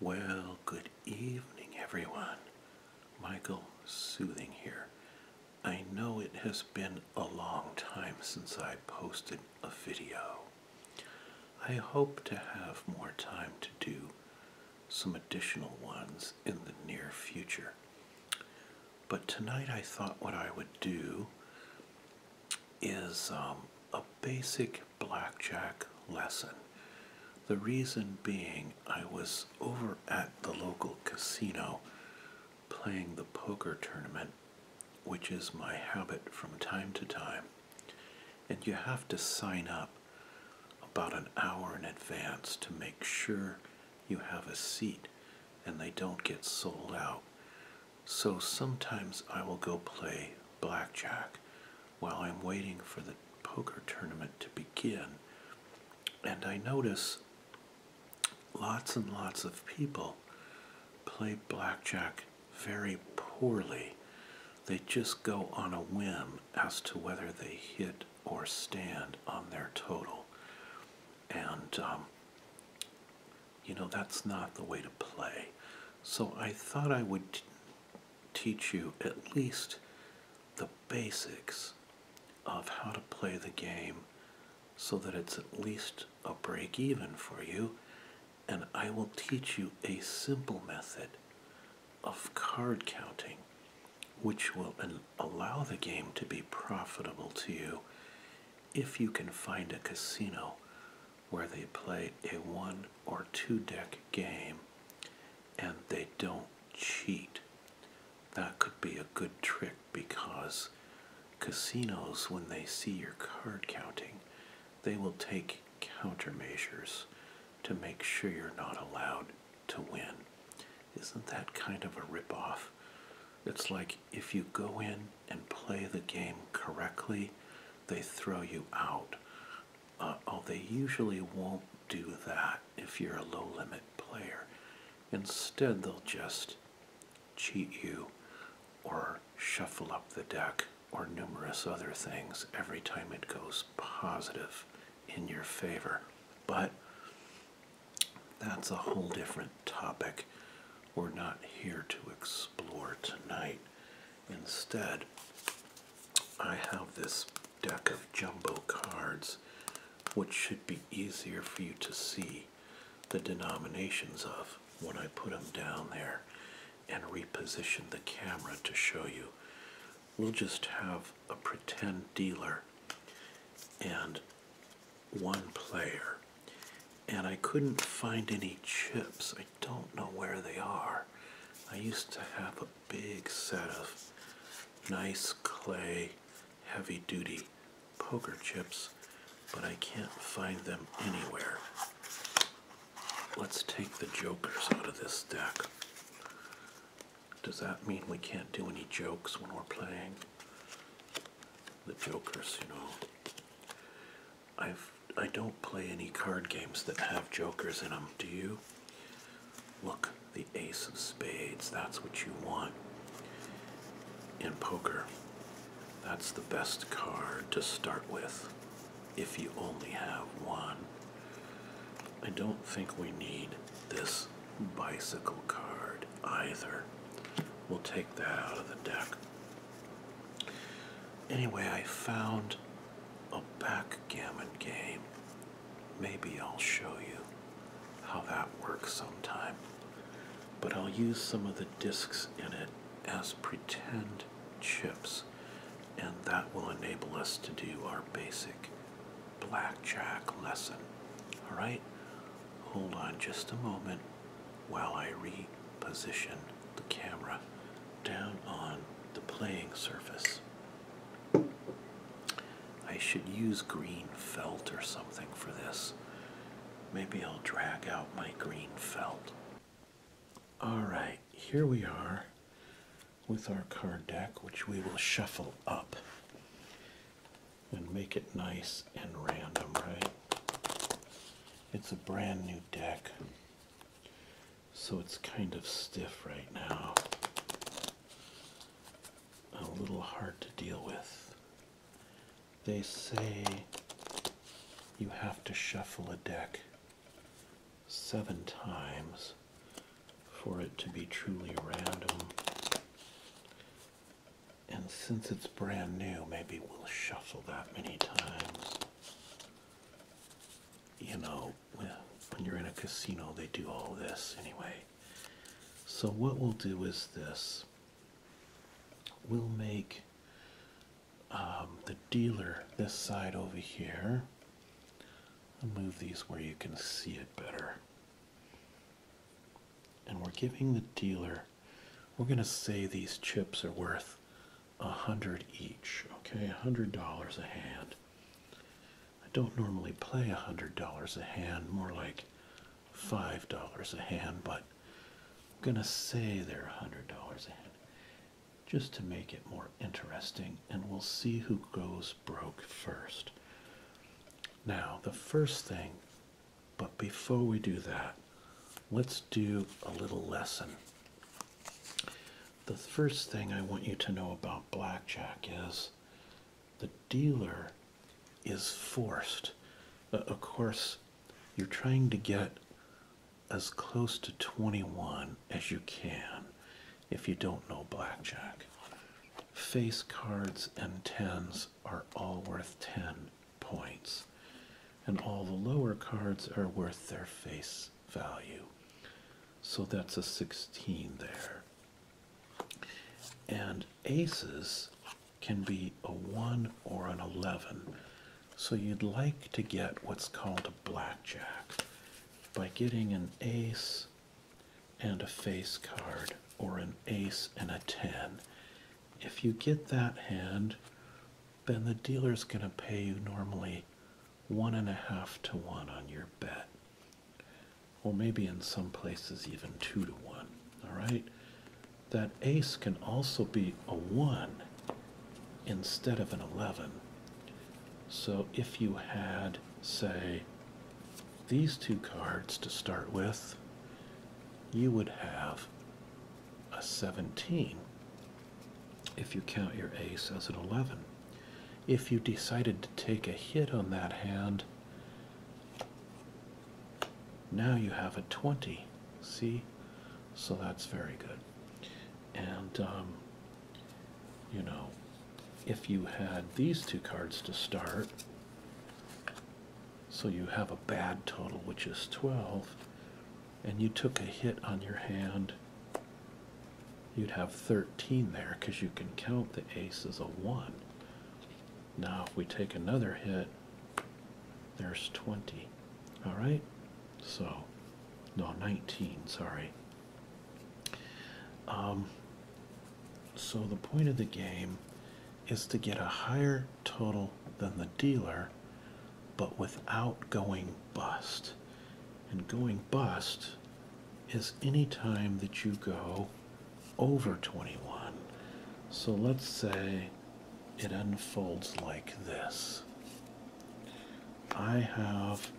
Well, good evening, everyone. Michael Soothing here. I know it has been a long time since I posted a video. I hope to have more time to do some additional ones in the near future. But tonight I thought what I would do is um, a basic blackjack lesson. The reason being, I was over at the local casino playing the poker tournament, which is my habit from time to time, and you have to sign up about an hour in advance to make sure you have a seat and they don't get sold out. So sometimes I will go play blackjack while I'm waiting for the poker tournament to begin. And I notice lots and lots of people play blackjack very poorly. They just go on a whim as to whether they hit or stand on their total. And, um, you know, that's not the way to play. So I thought I would teach you at least the basics of how to play the game so that it's at least a break even for you. And I will teach you a simple method of card counting, which will allow the game to be profitable to you if you can find a casino where they play a one or two deck game and they don't cheat. That could be a good trick because casinos, when they see your card counting, they will take countermeasures to make sure you're not allowed to win. Isn't that kind of a ripoff? It's like if you go in and play the game correctly, they throw you out uh, oh, they usually won't do that if you're a low limit player. Instead, they'll just cheat you or shuffle up the deck or numerous other things every time it goes positive in your favor. But that's a whole different topic we're not here to explore tonight. Instead, I have this deck of jumbo cards, which should be easier for you to see the denominations of when I put them down there and reposition the camera to show you. We'll just have a pretend dealer and one player. And I couldn't find any chips. I don't know where they are. I used to have a big set of nice clay heavy duty poker chips, but I can't find them anywhere. Let's take the jokers out of this deck. Does that mean we can't do any jokes when we're playing? The jokers, you know. I've I don't play any card games that have jokers in them. Do you? Look, the ace of spades. That's what you want in poker. That's the best card to start with if you only have one. I don't think we need this bicycle card either. We'll take that out of the deck. Anyway, I found a backgammon game. Maybe I'll show you how that works sometime. But I'll use some of the discs in it as pretend chips, and that will enable us to do our basic blackjack lesson. All right, hold on just a moment while I reposition the camera down on the playing surface. I should use green felt or something for this. Maybe I'll drag out my green felt. Alright, here we are with our card deck, which we will shuffle up and make it nice and random, right? It's a brand new deck so it's kind of stiff right now. A little hard to deal with. They say you have to shuffle a deck seven times for it to be truly random. And since it's brand new, maybe we'll shuffle that many times. You know, when you're in a casino, they do all this anyway. So, what we'll do is this we'll make um, the dealer this side over here. i move these where you can see it better. And we're giving the dealer, we're going to say these chips are worth a hundred each. Okay, a hundred dollars a hand. I don't normally play a hundred dollars a hand, more like five dollars a hand, but I'm gonna say they're a hundred dollars a hand just to make it more interesting, and we'll see who goes broke first. Now, the first thing, but before we do that, let's do a little lesson the first thing I want you to know about blackjack is the dealer is forced. Uh, of course, you're trying to get as close to 21 as you can if you don't know blackjack. Face cards and tens are all worth 10 points, and all the lower cards are worth their face value. So that's a 16 there. And aces can be a 1 or an 11. So you'd like to get what's called a blackjack by getting an ace and a face card or an ace and a 10. If you get that hand, then the dealer's going to pay you normally one and a half to one on your bet. Or maybe in some places even two to one. All right. That ace can also be a one instead of an 11. So if you had, say, these two cards to start with, you would have a 17 if you count your ace as an 11. If you decided to take a hit on that hand, now you have a 20. See? So that's very good. And, um, you know, if you had these two cards to start, so you have a bad total, which is 12, and you took a hit on your hand, you'd have 13 there because you can count the ace as a 1. Now, if we take another hit, there's 20. All right? So, no, 19, sorry. Um, so, the point of the game is to get a higher total than the dealer, but without going bust. And going bust is any time that you go over 21. So let's say it unfolds like this. I have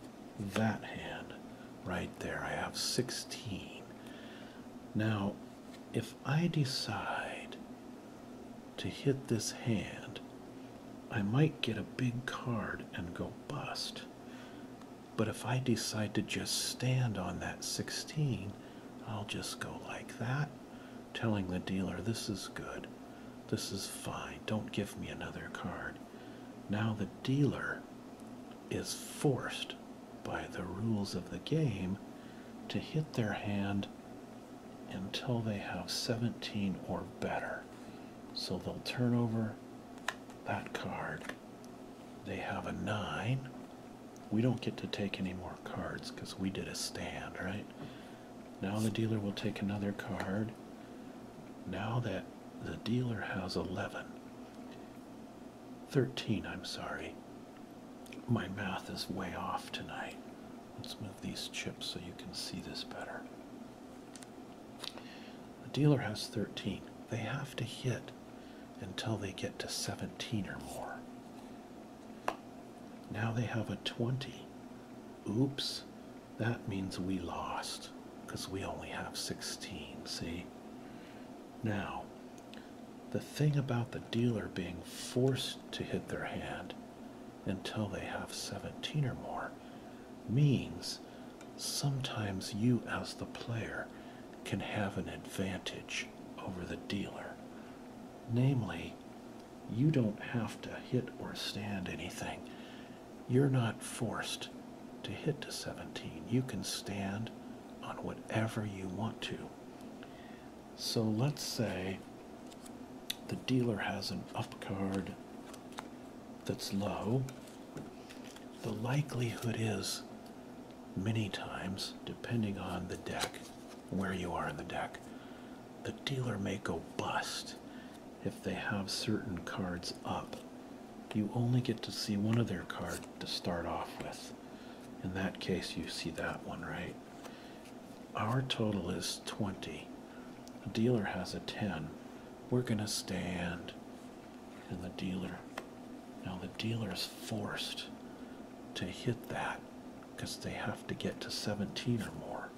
that hand right there. I have 16. Now, if I decide to hit this hand, I might get a big card and go bust. But if I decide to just stand on that 16, I'll just go like that, telling the dealer, this is good, this is fine, don't give me another card. Now the dealer is forced by the rules of the game to hit their hand until they have 17 or better. So they'll turn over that card. They have a nine. We don't get to take any more cards because we did a stand, right? Now the dealer will take another card. Now that the dealer has 11, 13, I'm sorry. My math is way off tonight. Let's move these chips so you can see this better. The dealer has 13. They have to hit until they get to 17 or more. Now they have a 20. Oops, that means we lost because we only have 16, see? Now, the thing about the dealer being forced to hit their hand until they have 17 or more means sometimes you, as the player, can have an advantage over the dealer. Namely, you don't have to hit or stand anything. You're not forced to hit to 17. You can stand on whatever you want to. So let's say the dealer has an up card that's low the likelihood is, many times, depending on the deck, where you are in the deck, the dealer may go bust if they have certain cards up. You only get to see one of their cards to start off with. In that case, you see that one, right? Our total is 20. The dealer has a 10. We're going to stand. And the dealer. Now the dealer is forced to hit that because they have to get to 17 or more.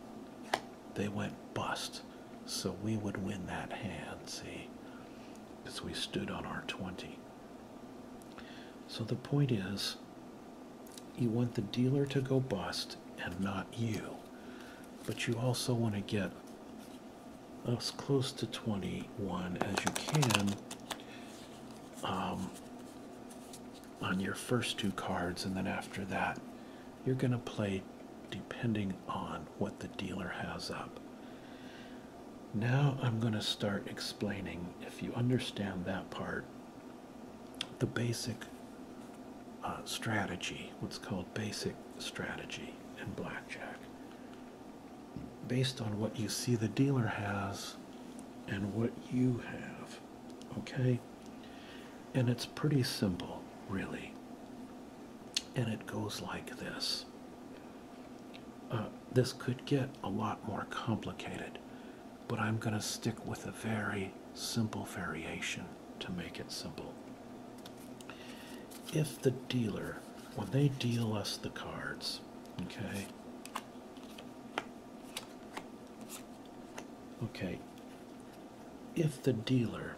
They went bust. So we would win that hand, see? Because we stood on our 20. So the point is, you want the dealer to go bust and not you. But you also want to get as close to 21 as you can um, on your first two cards, and then after that, you're going to play depending on what the dealer has up. Now I'm going to start explaining, if you understand that part, the basic uh, strategy, what's called basic strategy in blackjack, based on what you see the dealer has and what you have. Okay? And it's pretty simple, really. And it goes like this. Uh, this could get a lot more complicated, but I'm going to stick with a very simple variation to make it simple. If the dealer, when they deal us the cards, okay, okay, if the dealer,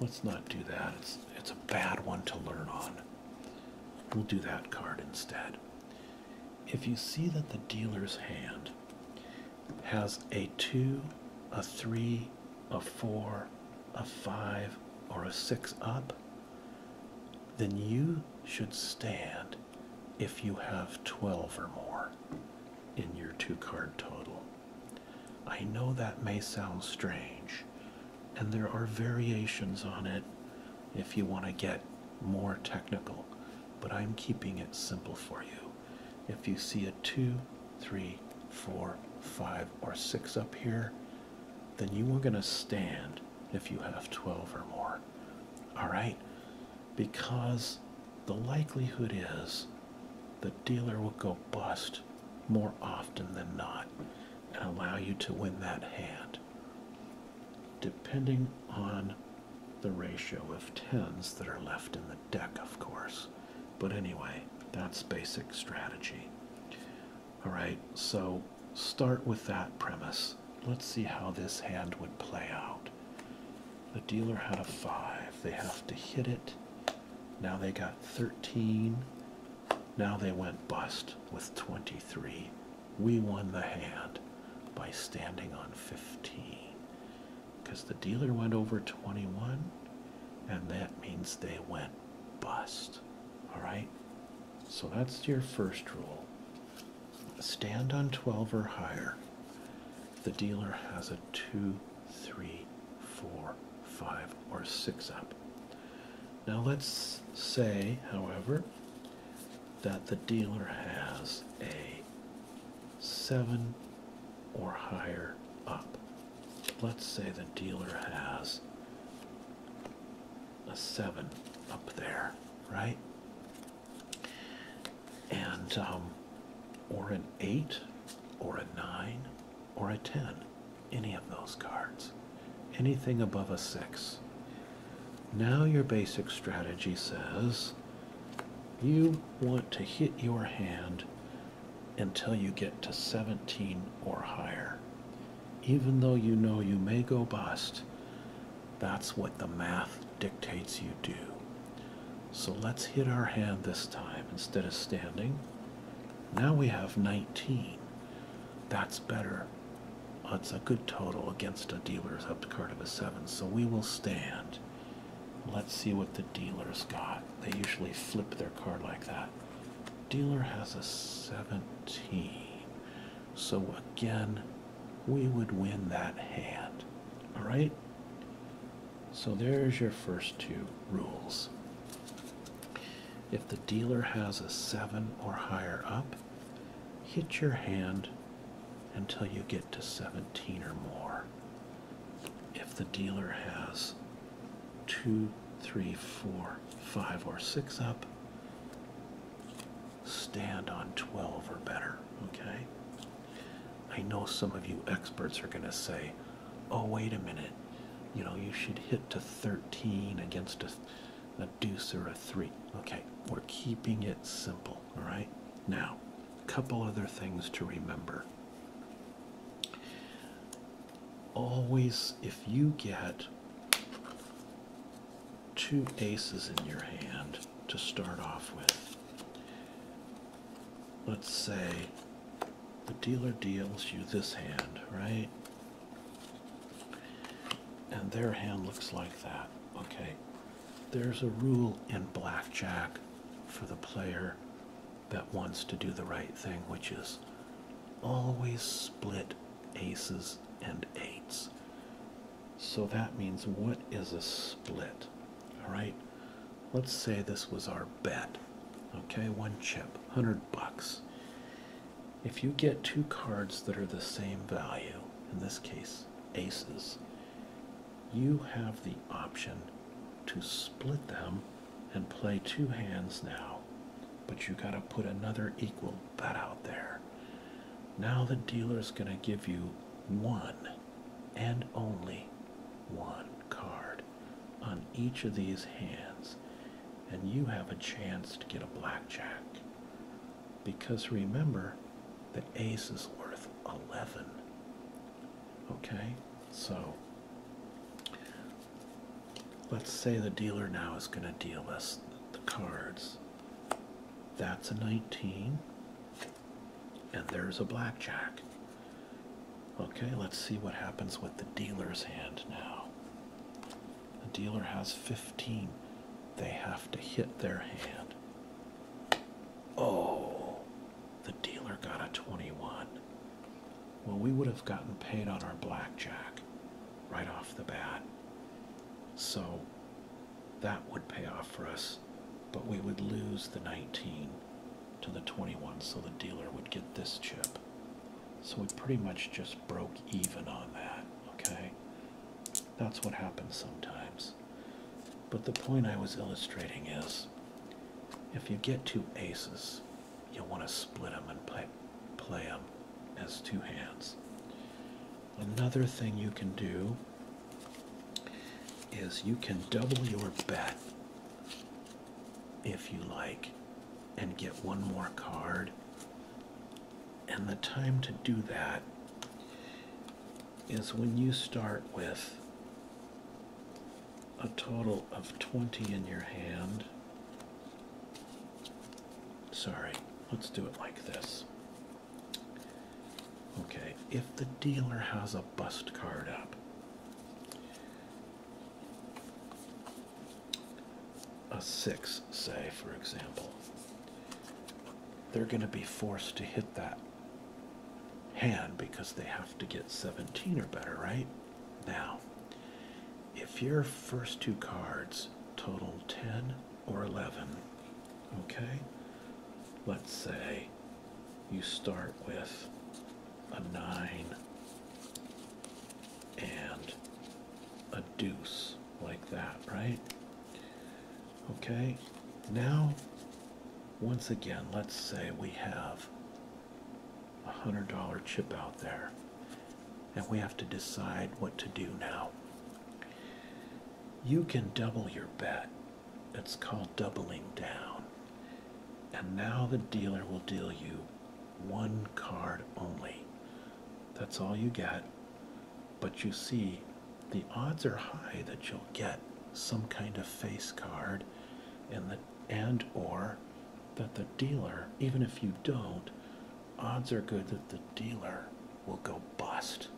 let's not do that, it's, it's a bad one to learn on. We'll do that card instead. If you see that the dealer's hand has a 2, a 3, a 4, a 5, or a 6 up, then you should stand if you have 12 or more in your two card total. I know that may sound strange, and there are variations on it if you want to get more technical, but I'm keeping it simple for you. If you see a 2, 3, 4, 5, or 6 up here, then you are going to stand if you have 12 or more. All right? Because the likelihood is the dealer will go bust more often than not and allow you to win that hand. Depending on the ratio of tens that are left in the deck, of course. But anyway, that's basic strategy. All right, so start with that premise. Let's see how this hand would play out. The dealer had a 5. They have to hit it. Now they got 13. Now they went bust with 23. We won the hand by standing on 15 because the dealer went over 21 and that means they went bust all right so that's your first rule stand on 12 or higher the dealer has a 2 3 4 5 or 6 up now let's say however that the dealer has a 7 or higher up. Let's say the dealer has a 7 up there, right? And, um, or an 8, or a 9, or a 10. Any of those cards. Anything above a 6. Now your basic strategy says you want to hit your hand until you get to 17 or higher. Even though you know you may go bust, that's what the math dictates you do. So let's hit our hand this time instead of standing. Now we have 19. That's better. That's a good total against a dealer's up card of a 7, so we will stand. Let's see what the dealer's got. They usually flip their card like that. Dealer has a 17. So again, we would win that hand. All right? So there's your first two rules. If the dealer has a 7 or higher up, hit your hand until you get to 17 or more if the dealer has two, three, four, five, or six up, stand on 12 or better. Okay, I know some of you experts are going to say, Oh, wait a minute, you know, you should hit to 13 against a, a deuce or a three. Okay, we're keeping it simple. All right, now, a couple other things to remember always, if you get two aces in your hand to start off with, let's say the dealer deals you this hand, right? And their hand looks like that, okay? There's a rule in blackjack for the player that wants to do the right thing, which is always split aces and eights. So that means what is a split? All right. Let's say this was our bet. Okay, one chip, 100 bucks. If you get two cards that are the same value, in this case aces, you have the option to split them and play two hands now, but you got to put another equal bet out there. Now the dealer's going to give you one and only one card on each of these hands, and you have a chance to get a blackjack. Because remember, the ace is worth 11. Okay? So let's say the dealer now is going to deal us the cards. That's a 19, and there's a blackjack. Okay, let's see what happens with the dealer's hand now. The dealer has 15. They have to hit their hand. Oh, the dealer got a 21. Well, we would have gotten paid on our blackjack right off the bat. So that would pay off for us, but we would lose the 19 to the 21, so the dealer would get this chip. So we pretty much just broke even on that, okay? That's what happens sometimes. But the point I was illustrating is if you get two aces, you'll want to split them and play, play them as two hands. Another thing you can do is you can double your bet if you like and get one more card. And the time to do that is when you start with a total of 20 in your hand. Sorry, let's do it like this. Okay, if the dealer has a bust card up, a 6, say, for example, they're going to be forced to hit that hand because they have to get 17 or better, right? Now, if your first two cards total 10 or 11, okay, let's say you start with a 9 and a deuce, like that, right? Okay, now once again, let's say we have a $100 chip out there. And we have to decide what to do now. You can double your bet. It's called doubling down. And now the dealer will deal you one card only. That's all you get. But you see, the odds are high that you'll get some kind of face card, and that and or that the dealer, even if you don't, odds are good that the dealer will go bust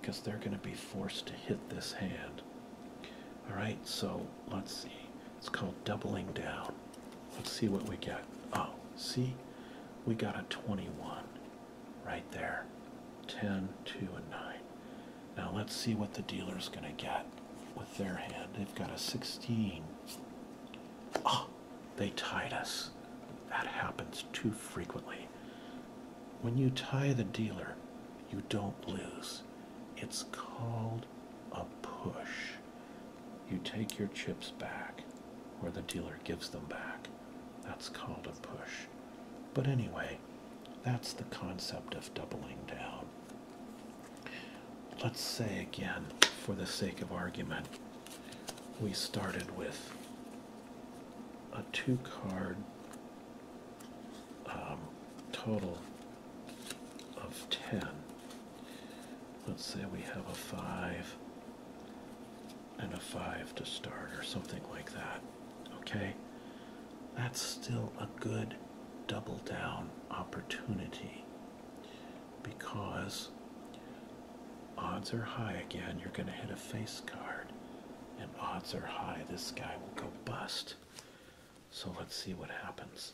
because they're going to be forced to hit this hand. All right, so let's see. It's called doubling down. Let's see what we get. Oh, see, we got a 21 right there. 10, 2, and 9. Now let's see what the dealer's going to get with their hand. They've got a 16. Oh, they tied us. That happens too frequently. When you tie the dealer, you don't lose. It's called a push. You take your chips back, or the dealer gives them back. That's called a push. But anyway, that's the concept of doubling down let's say again, for the sake of argument, we started with a two card um, total of 10. Let's say we have a 5 and a 5 to start, or something like that. Okay? That's still a good double down opportunity because odds are high again you're going to hit a face card and odds are high this guy will go bust so let's see what happens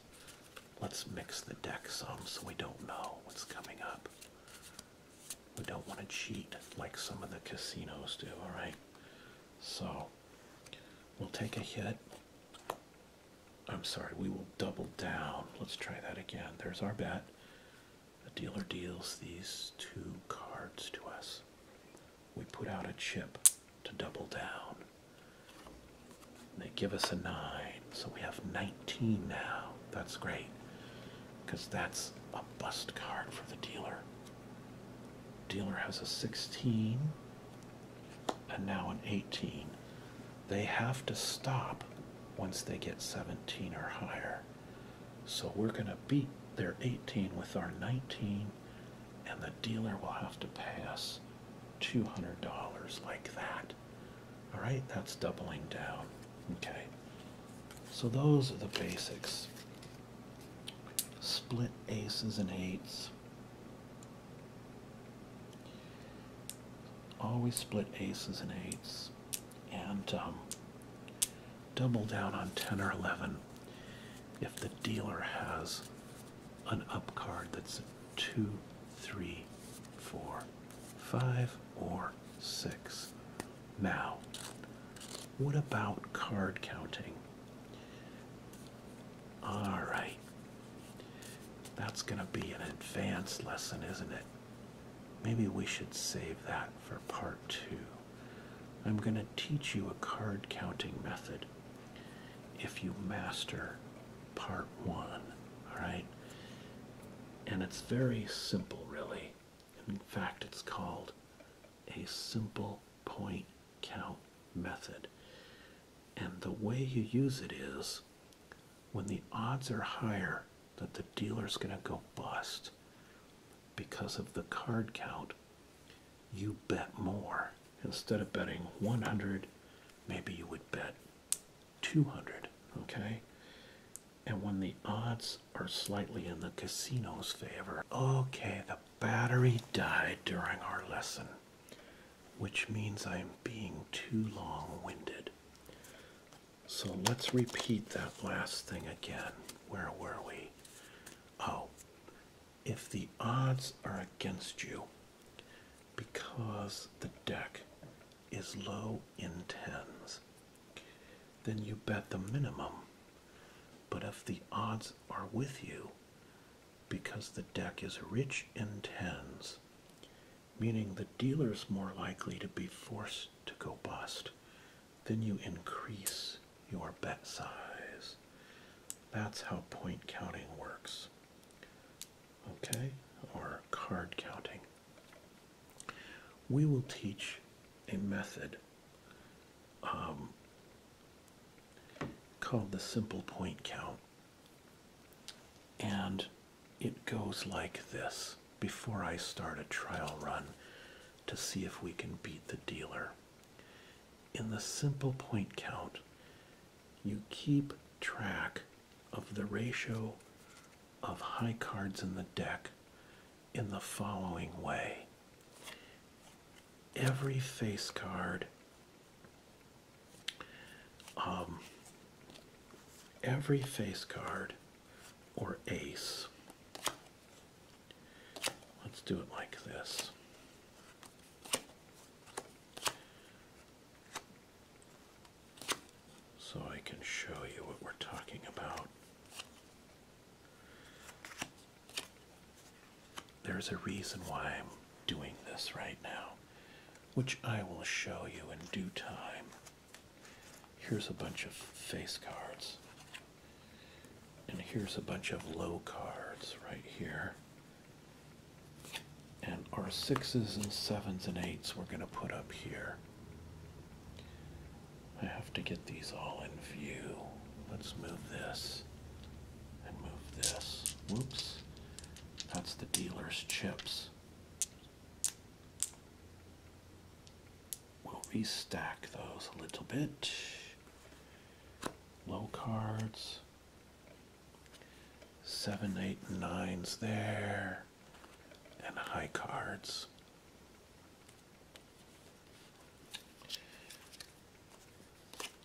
let's mix the deck some so we don't know what's coming up we don't want to cheat like some of the casinos do all right so we'll take a hit I'm sorry, we will double down. Let's try that again. There's our bet. The dealer deals these two cards to us. We put out a chip to double down. They give us a 9, so we have 19 now. That's great, because that's a bust card for the dealer. Dealer has a 16, and now an 18. They have to stop once they get 17 or higher. So we're going to beat their 18 with our 19, and the dealer will have to pay us $200 like that. All right, that's doubling down. Okay, so those are the basics. Split aces and eights, Always split aces and eights and um, double down on 10 or 11 if the dealer has an up card that's a 2, or 6. Now, what about card counting? All right, that's going to be an advanced lesson, isn't it? Maybe we should save that for part two. I'm going to teach you a card counting method if you master part one, alright? And it's very simple, really. In fact, it's called a simple point count method. And the way you use it is when the odds are higher that the dealer's going to go bust because of the card count, you bet more. Instead of betting 100, maybe you would bet 200, okay? And when the odds are slightly in the casino's favor, okay, the battery died during our lesson which means I'm being too long winded. So let's repeat that last thing again. Where were we? Oh, if the odds are against you because the deck is low in tens, then you bet the minimum. But if the odds are with you, because the deck is rich in tens, meaning the dealer's more likely to be forced to go bust. Then you increase your bet size. That's how point counting works. Okay, or card counting. We will teach a method um, called the simple point count and it goes like this before I start a trial run to see if we can beat the dealer. In the simple point count, you keep track of the ratio of high cards in the deck in the following way every face card um, every face card or ace, let's do it like this. So I can show you what we're talking about. There's a reason why I'm doing this right now which I will show you in due time. Here's a bunch of face cards. And here's a bunch of low cards right here. And our sixes and sevens and eights we're going to put up here. I have to get these all in view. Let's move this and move this. Whoops. That's the dealer's chips. We'll restack those a little bit. Low cards. Seven, eight, nines there. And high cards.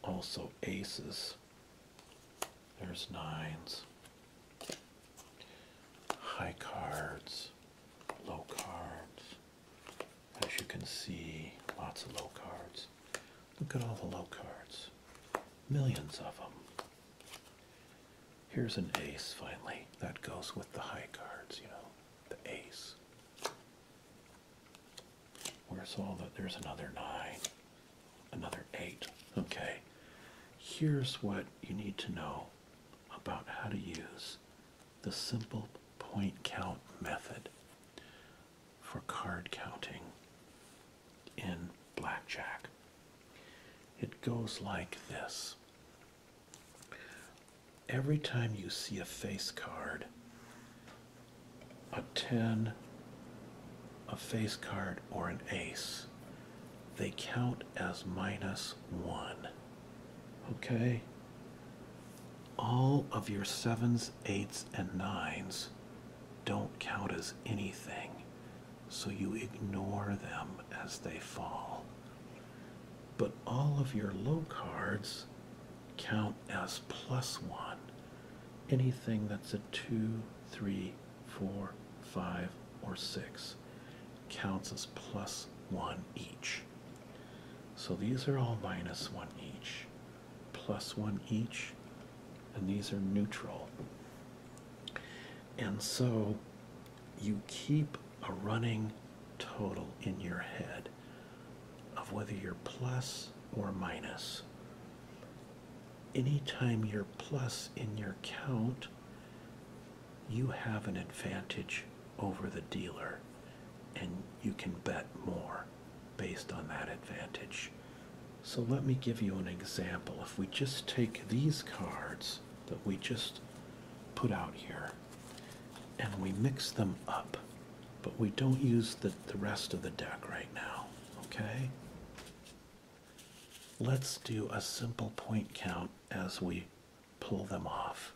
Also aces. There's nines, high cards, low cards. As you can see, lots of low cards. Look at all the low cards, millions of them. Here's an ace finally. That goes with the high cards, you know, the ace. Where's all the, there's another nine another eight. Okay, here's what you need to know about how to use the simple point count method for card counting in blackjack. It goes like this. Every time you see a face card, a 10, a face card, or an ace, they count as minus one. Okay? All of your sevens, eights, and nines don't count as anything, so you ignore them as they fall. But all of your low cards count as plus one. Anything that's a two, three, four, five, or six counts as plus one each. So these are all minus one each, plus one each, and these are neutral. And so you keep a running total in your head of whether you're plus or minus anytime you're plus in your count, you have an advantage over the dealer and you can bet more based on that advantage. So let me give you an example. If we just take these cards that we just put out here and we mix them up, but we don't use the, the rest of the deck right now, okay? Let's do a simple point count as we pull them off.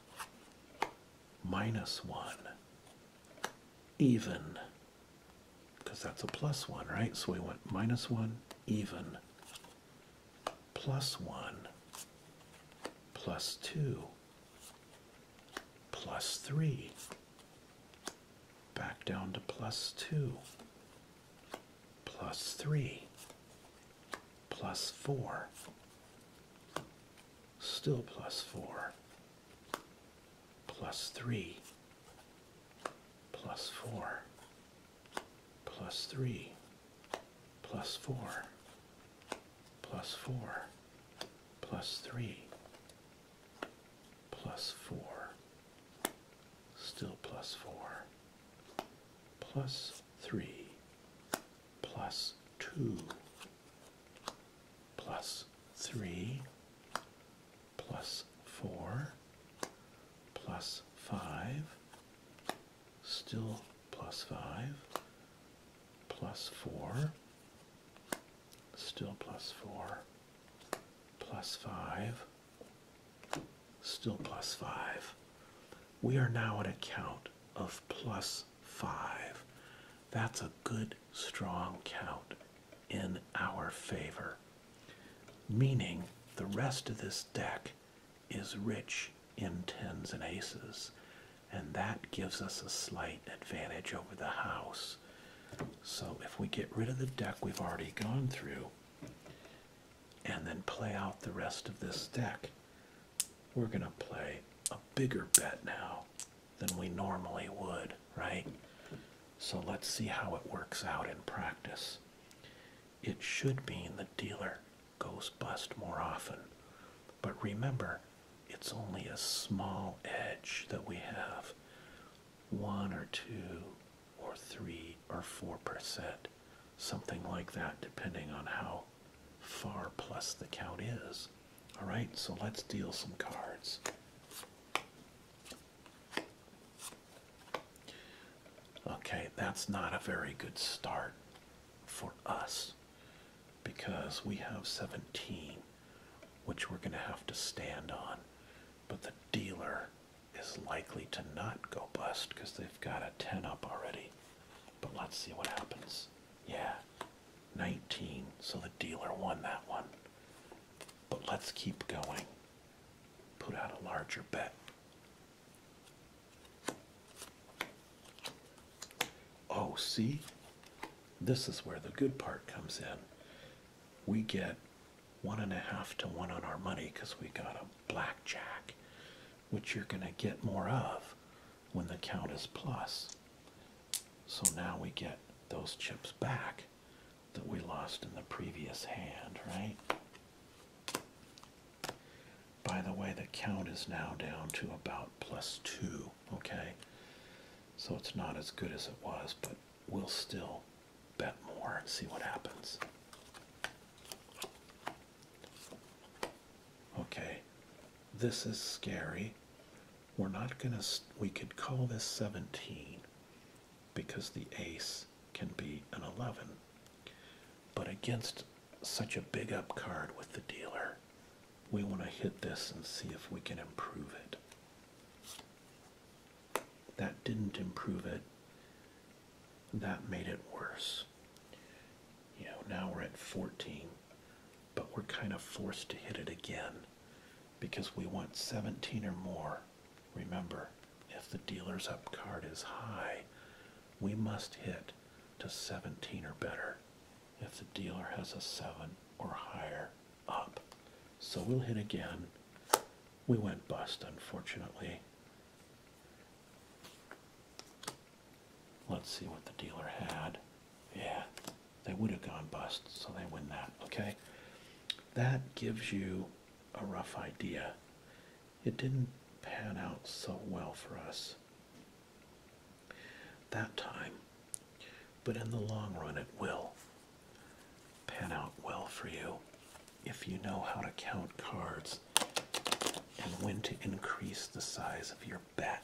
Minus one, even, because that's a plus one, right? So we went minus one, even, plus one, plus two, plus three back down to plus 2, plus 3, plus 4, still plus 4, plus 3, plus 4, plus 3, plus 4, plus 4, plus 3, plus 4, still plus 4, plus 3, plus 2, plus 3, plus 4, plus 5, still plus 5, plus 4, still plus 4, plus 5, still plus 5. We are now at a count of plus 5. That's a good, strong count in our favor, meaning the rest of this deck is rich in tens and aces, and that gives us a slight advantage over the house. So if we get rid of the deck we've already gone through, and then play out the rest of this deck. We're going to play a bigger bet now than we normally would, right? So let's see how it works out in practice. It should mean the dealer goes bust more often. But remember, it's only a small edge that we have. One or two, or 3 or 4%, something like that, depending on how far plus the count is. All right, so let's deal some cards. Okay, that's not a very good start for us because we have 17, which we're going to have to stand on. But the dealer is likely to not go bust because they've got a 10 up already. But let's see what happens. Yeah, 19. So the dealer won that one. But let's keep going. Put out a larger bet. Oh, see? This is where the good part comes in we get one and a half to one on our money because we got a blackjack, which you're going to get more of when the count is plus. So now we get those chips back that we lost in the previous hand, right? By the way, the count is now down to about plus two, okay? So it's not as good as it was, but we'll still bet more and see what happens. Okay, this is scary. We're not going to, we could call this 17 because the ace can be an 11. But against such a big up card with the dealer, we want to hit this and see if we can improve it. That didn't improve it. That made it worse. You know, now we're at 14, but we're kind of forced to hit it again because we want 17 or more. Remember, if the dealer's up card is high, we must hit to 17 or better if the dealer has a 7 or higher up. So we'll hit again we went bust, unfortunately. Let's see what the dealer had. Yeah, they would have gone bust, so they win that, okay? That gives you a rough idea. It didn't pan out so well for us that time, but in the long run it will pan out well for you if you know how to count cards and when to increase the size of your bet.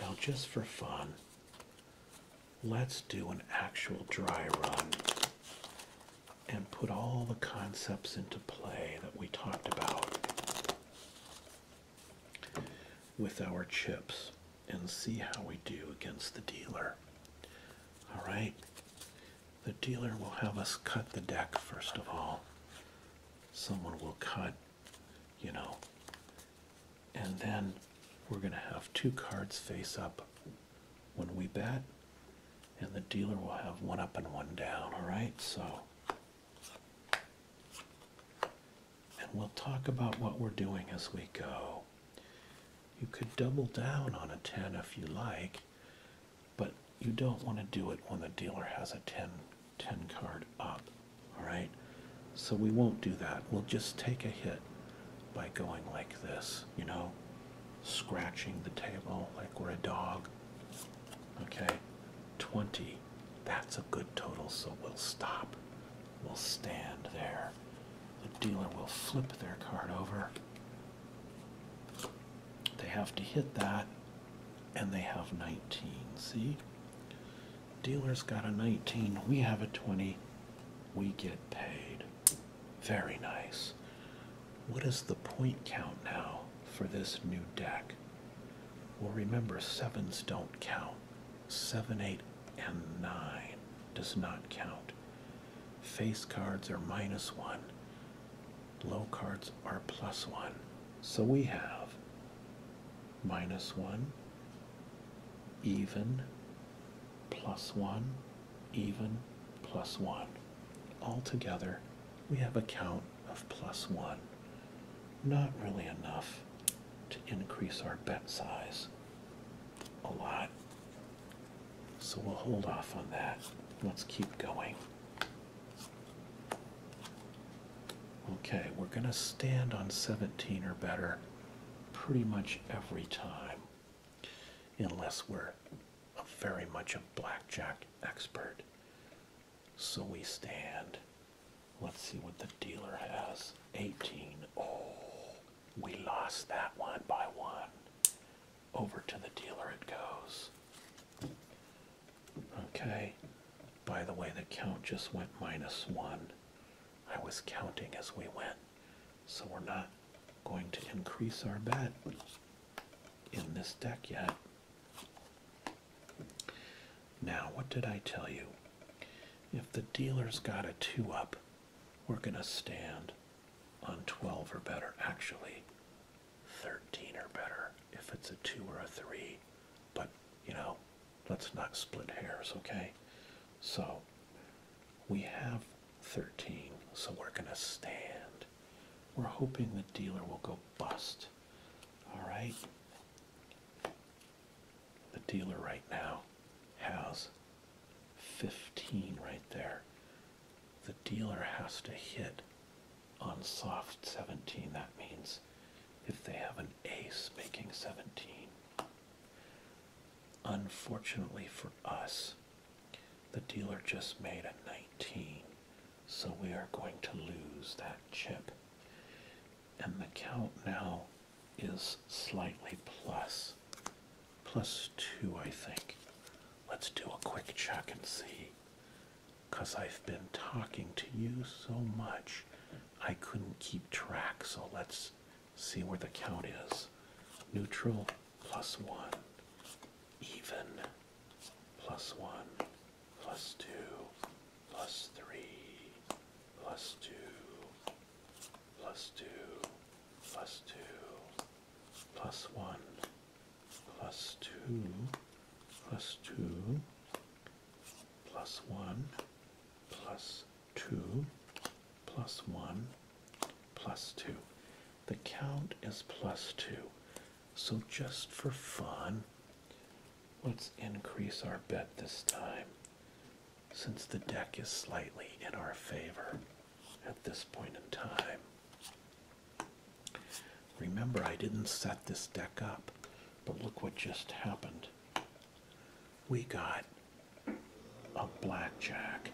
Now, just for fun, let's do an actual dry run and put all the concepts into play that we talked about with our chips and see how we do against the dealer. All right. The dealer will have us cut the deck first of all. Someone will cut, you know, and then we're going to have two cards face up when we bet, and the dealer will have one up and one down. All right, so. And we'll talk about what we're doing as we go. You could double down on a 10 if you like, but you don't want to do it when the dealer has a 10, card up. Alright? So we won't do that. We'll just take a hit by going like this, you know, scratching the table like we're a dog. Okay? 20. That's a good total, so we'll stop will stand there. The dealer will flip their card over. They have to hit that, and they have 19. See? Dealer's got a 19, we have a 20, we get paid. Very nice. What is the point count now for this new deck? Well, remember, sevens don't count. Seven, eight, and nine does not count. Face cards are minus one. Low cards are plus one. So we have minus one, even, plus one, even, plus one. Altogether, we have a count of plus one. Not really enough to increase our bet size a lot. So we'll hold off on that. Let's keep going. Okay, we're going to stand on 17 or better pretty much every time, unless we're a very much a blackjack expert. So we stand. Let's see what the dealer has. 18. Oh, we lost that one by one. Over to the dealer it goes. Okay. By the way, the count just went minus one. I was counting as we went. So we're not going to increase our bet in this deck yet. Now, what did I tell you? If the dealer's got a two up, we're going to stand on 12 or better, actually 13 or better if it's a 2 or a 3. But, you know, let's not split hairs, okay? So we have 13, so we're going to stand. We're hoping the dealer will go bust. All right? The dealer right now has 15 right there. The dealer has to hit on soft 17. That means if they have an ace making 17. Unfortunately for us, the dealer just made a 19. So we are going to lose that chip. And the count now is slightly plus plus 2, I think. Let's do a quick check and see. Because I've been talking to you so much, I couldn't keep track. So let's see where the count is. Neutral, plus 1. Even, plus 1. Plus 2. Plus 3. Plus 2 plus 2, plus 2, plus 1, plus 2, hmm. plus 2, hmm. plus 1, plus 2, plus 1, plus 2. The count is plus 2. So just for fun, let's increase our bet this time since the deck is slightly in our favor at this point in time. Remember, I didn't set this deck up, but look what just happened. We got a blackjack,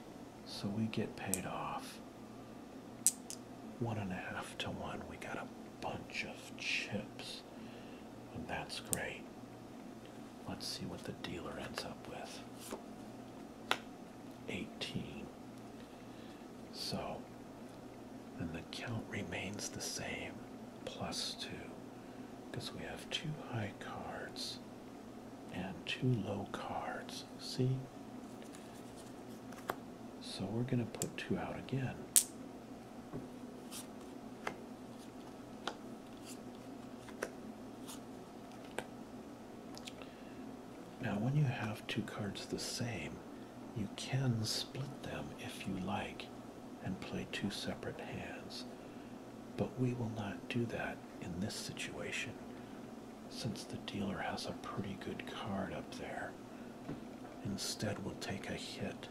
so we get paid off. One and a half to one, we got a bunch of chips, and that's great. Let's see what the dealer ends up with. 18. So then the count remains the same, plus 2, because we have two high cards and two low cards. See? So we're going to put two out again. Now, when you have two cards the same, you can split them if you like and play two separate hands. But we will not do that in this situation since the dealer has a pretty good card up there. Instead, we'll take a hit.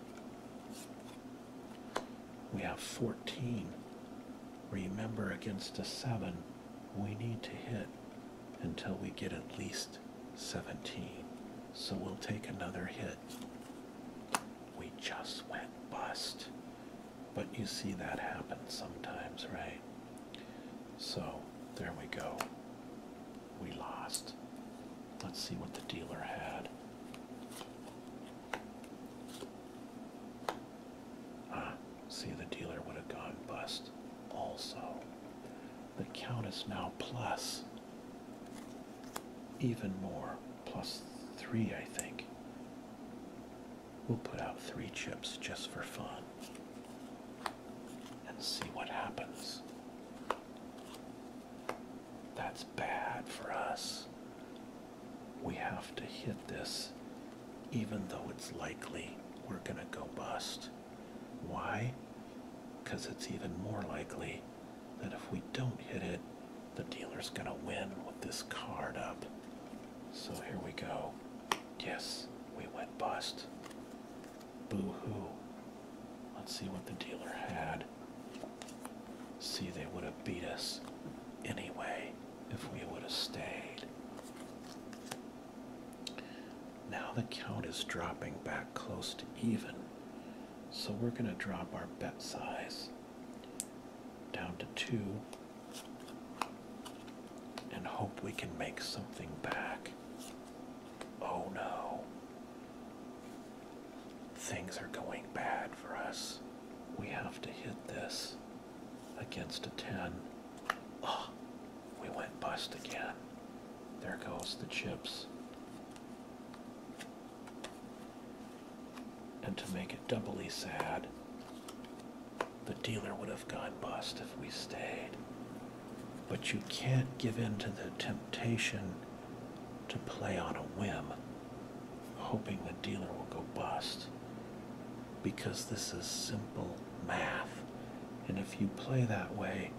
We have 14. Remember, against a 7, we need to hit until we get at least 17. So we'll take another hit. We just went bust. But you see that happen sometimes, right? So there we go. We lost. Let's see what the dealer had. Ah, see, the dealer would have gone bust also. The count is now plus even more, plus three, I think. We'll put out three chips just for fun and see what happens. That's bad for us we have to hit this even though it's likely we're going to go bust. Why? Because it's even more likely that if we don't hit it, the dealer's going to win with this card up. So here we go. Yes, we went bust. Boo-hoo. Let's see what the dealer had. See, they would have beat us anyway if we would have stayed. Now the count is dropping back close to even, so we're going to drop our bet size down to two and hope we can make something back. Oh no. Things are going bad for us. We have to hit this against a 10. we went bust again. There goes the chips. And to make it doubly sad, the dealer would have gone bust if we stayed. But you can't give in to the temptation to play on a whim, hoping the dealer will go bust because this is simple math. And if you play that way,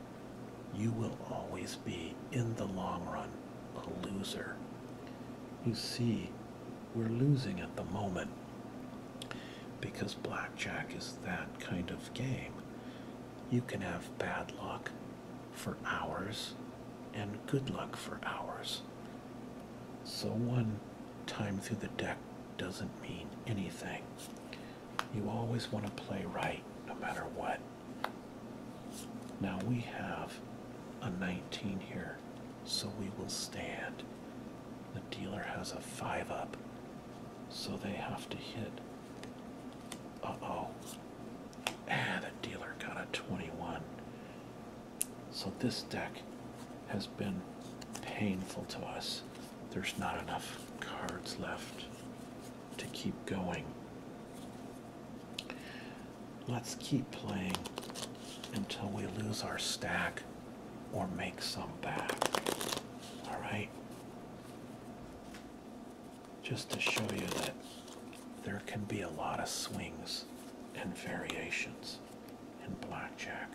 you will always be, in the long run, a loser. You see, we're losing at the moment because blackjack is that kind of game. You can have bad luck for hours and good luck for hours. So one time through the deck doesn't mean anything. You always want to play right no matter what. Now we have a 19 here, so we will stand. The dealer has a 5 up, so they have to hit. Uh oh. Ah, the dealer got a 21. So this deck has been painful to us. There's not enough cards left to keep going. Let's keep playing until we lose our stack or make some back. All right? Just to show you that there can be a lot of swings and variations in blackjack.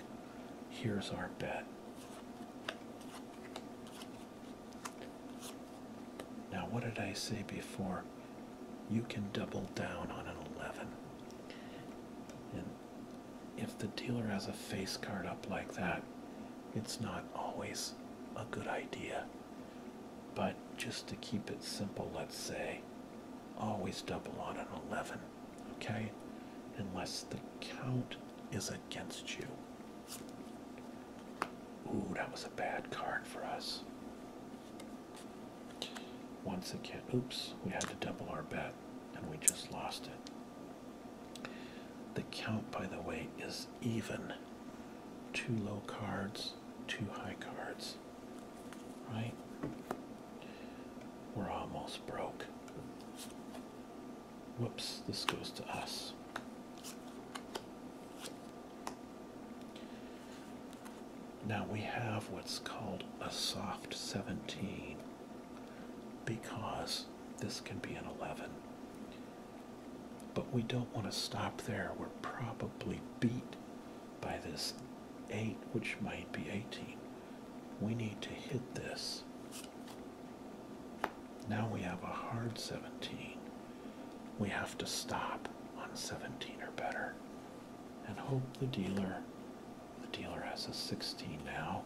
Here's our bet. Now, what did I say before? You can double down on an 11. And if the dealer has a face card up like that, it's not always a good idea. But just to keep it simple, let's say always double on an 11 okay, unless the count is against you. Ooh, that was a bad card for us. Once again, oops, we had to double our bet and we just lost it. The count, by the way, is even. Two low cards, two high cards, right? We're almost broke. Whoops, this goes to us. Now we have what's called a soft 17 because this can be an 11. But we don't want to stop there. We're probably beat by this 8, which might be 18 we need to hit this. Now we have a hard 17. We have to stop on 17 or better and hope the dealer, the dealer has a 16 now.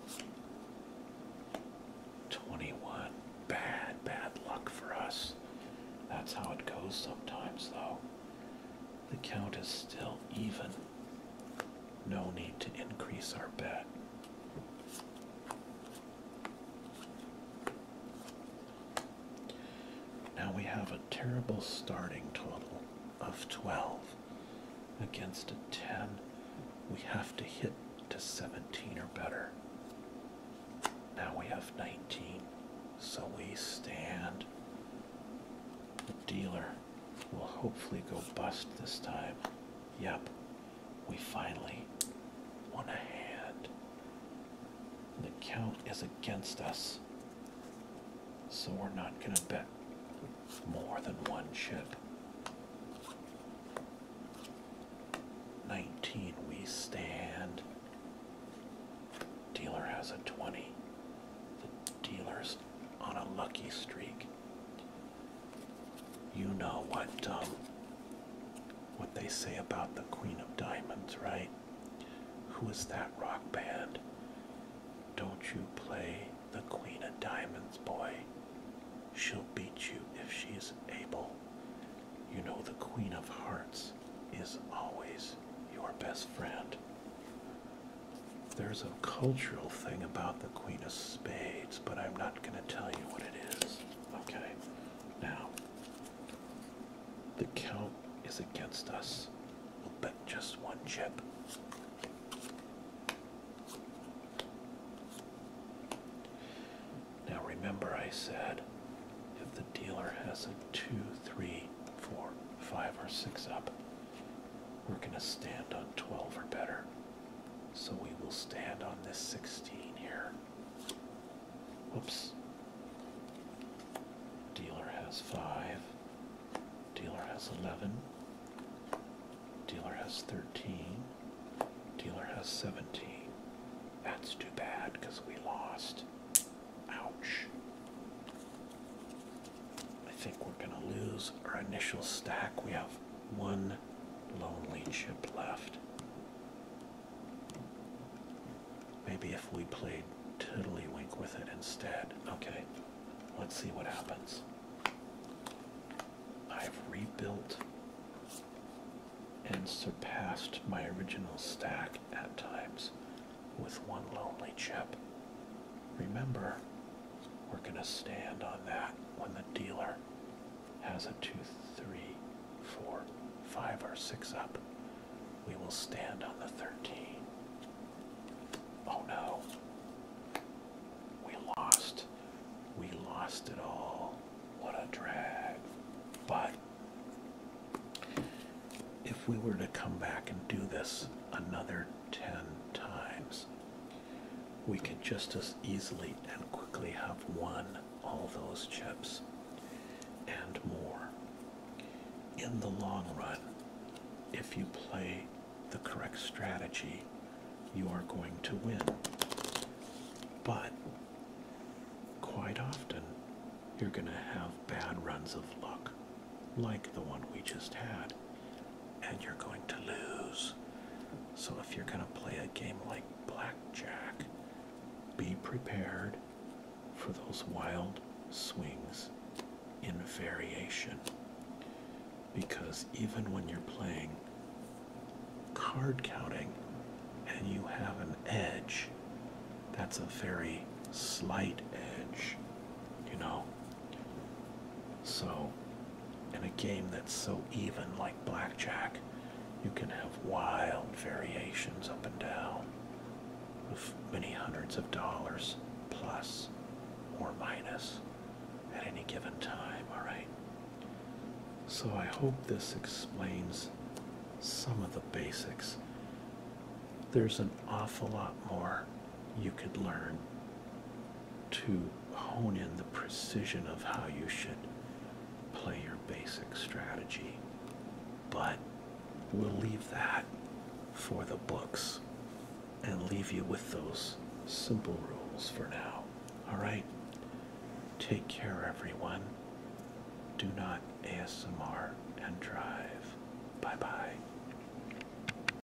21. Bad, bad luck for us. That's how it goes sometimes though. The count is still even. No need to increase our bet. Now we have a terrible starting total of 12 against a 10. We have to hit to 17 or better. Now we have 19, so we stand. The dealer we will hopefully go bust this time. Yep, we finally won a hand. The count is against us, so we're not going to bet more than one chip. 19, we stand. Dealer has a 20. The dealer's on a lucky streak. You know what um, what they say about the Queen of Diamonds, right? Who is that rock band? Don't you play the Queen of Diamonds, boy? She'll beat you if she's able. You know the Queen of Hearts is always your best friend. There's a cultural thing about the Queen of Spades, but I'm not going to tell you what it is. Okay, now the count is against us. We'll bet just one chip. Now remember, I said if the dealer has a two, three, four, five, or 6 up, we're going to stand on 12 or better. So we will stand on this 16 here. Oops. Dealer has 5. Dealer has 11. Dealer has 13. Dealer has 17. That's too bad because we lost. Ouch. I think we're going to lose our initial stack. We have one lonely chip left. Maybe if we played Wink with it instead. Okay, let's see what happens. I've rebuilt and surpassed my original stack at times with one lonely chip. Remember, we're going to stand on that when the dealer has a two, three, four, five, or six up. We will stand on the 13. Oh no. We lost. We lost it all. What a drag. But if we were to come back and do this another 10 times, we could just as easily and quickly have won all those chips and more. In the long run, if you play the correct strategy, you are going to win. But quite often, you're going to have bad runs of luck like the one we just had, and you're going to lose. So, if you're going to play a game like blackjack, be prepared for those wild swings in variation. Because even when you're playing card counting and you have an edge, that's a very slight edge. You know, so, in a game that's so even like blackjack, you can have wild variations up and down of many hundreds of dollars plus or minus at any given time, all right? So, I hope this explains some of the basics. There's an awful lot more you could learn to hone in the precision of how you should play your basic strategy. But we'll leave that for the books and leave you with those simple rules for now. All right? Take care, everyone. Do not ASMR and drive. Bye bye.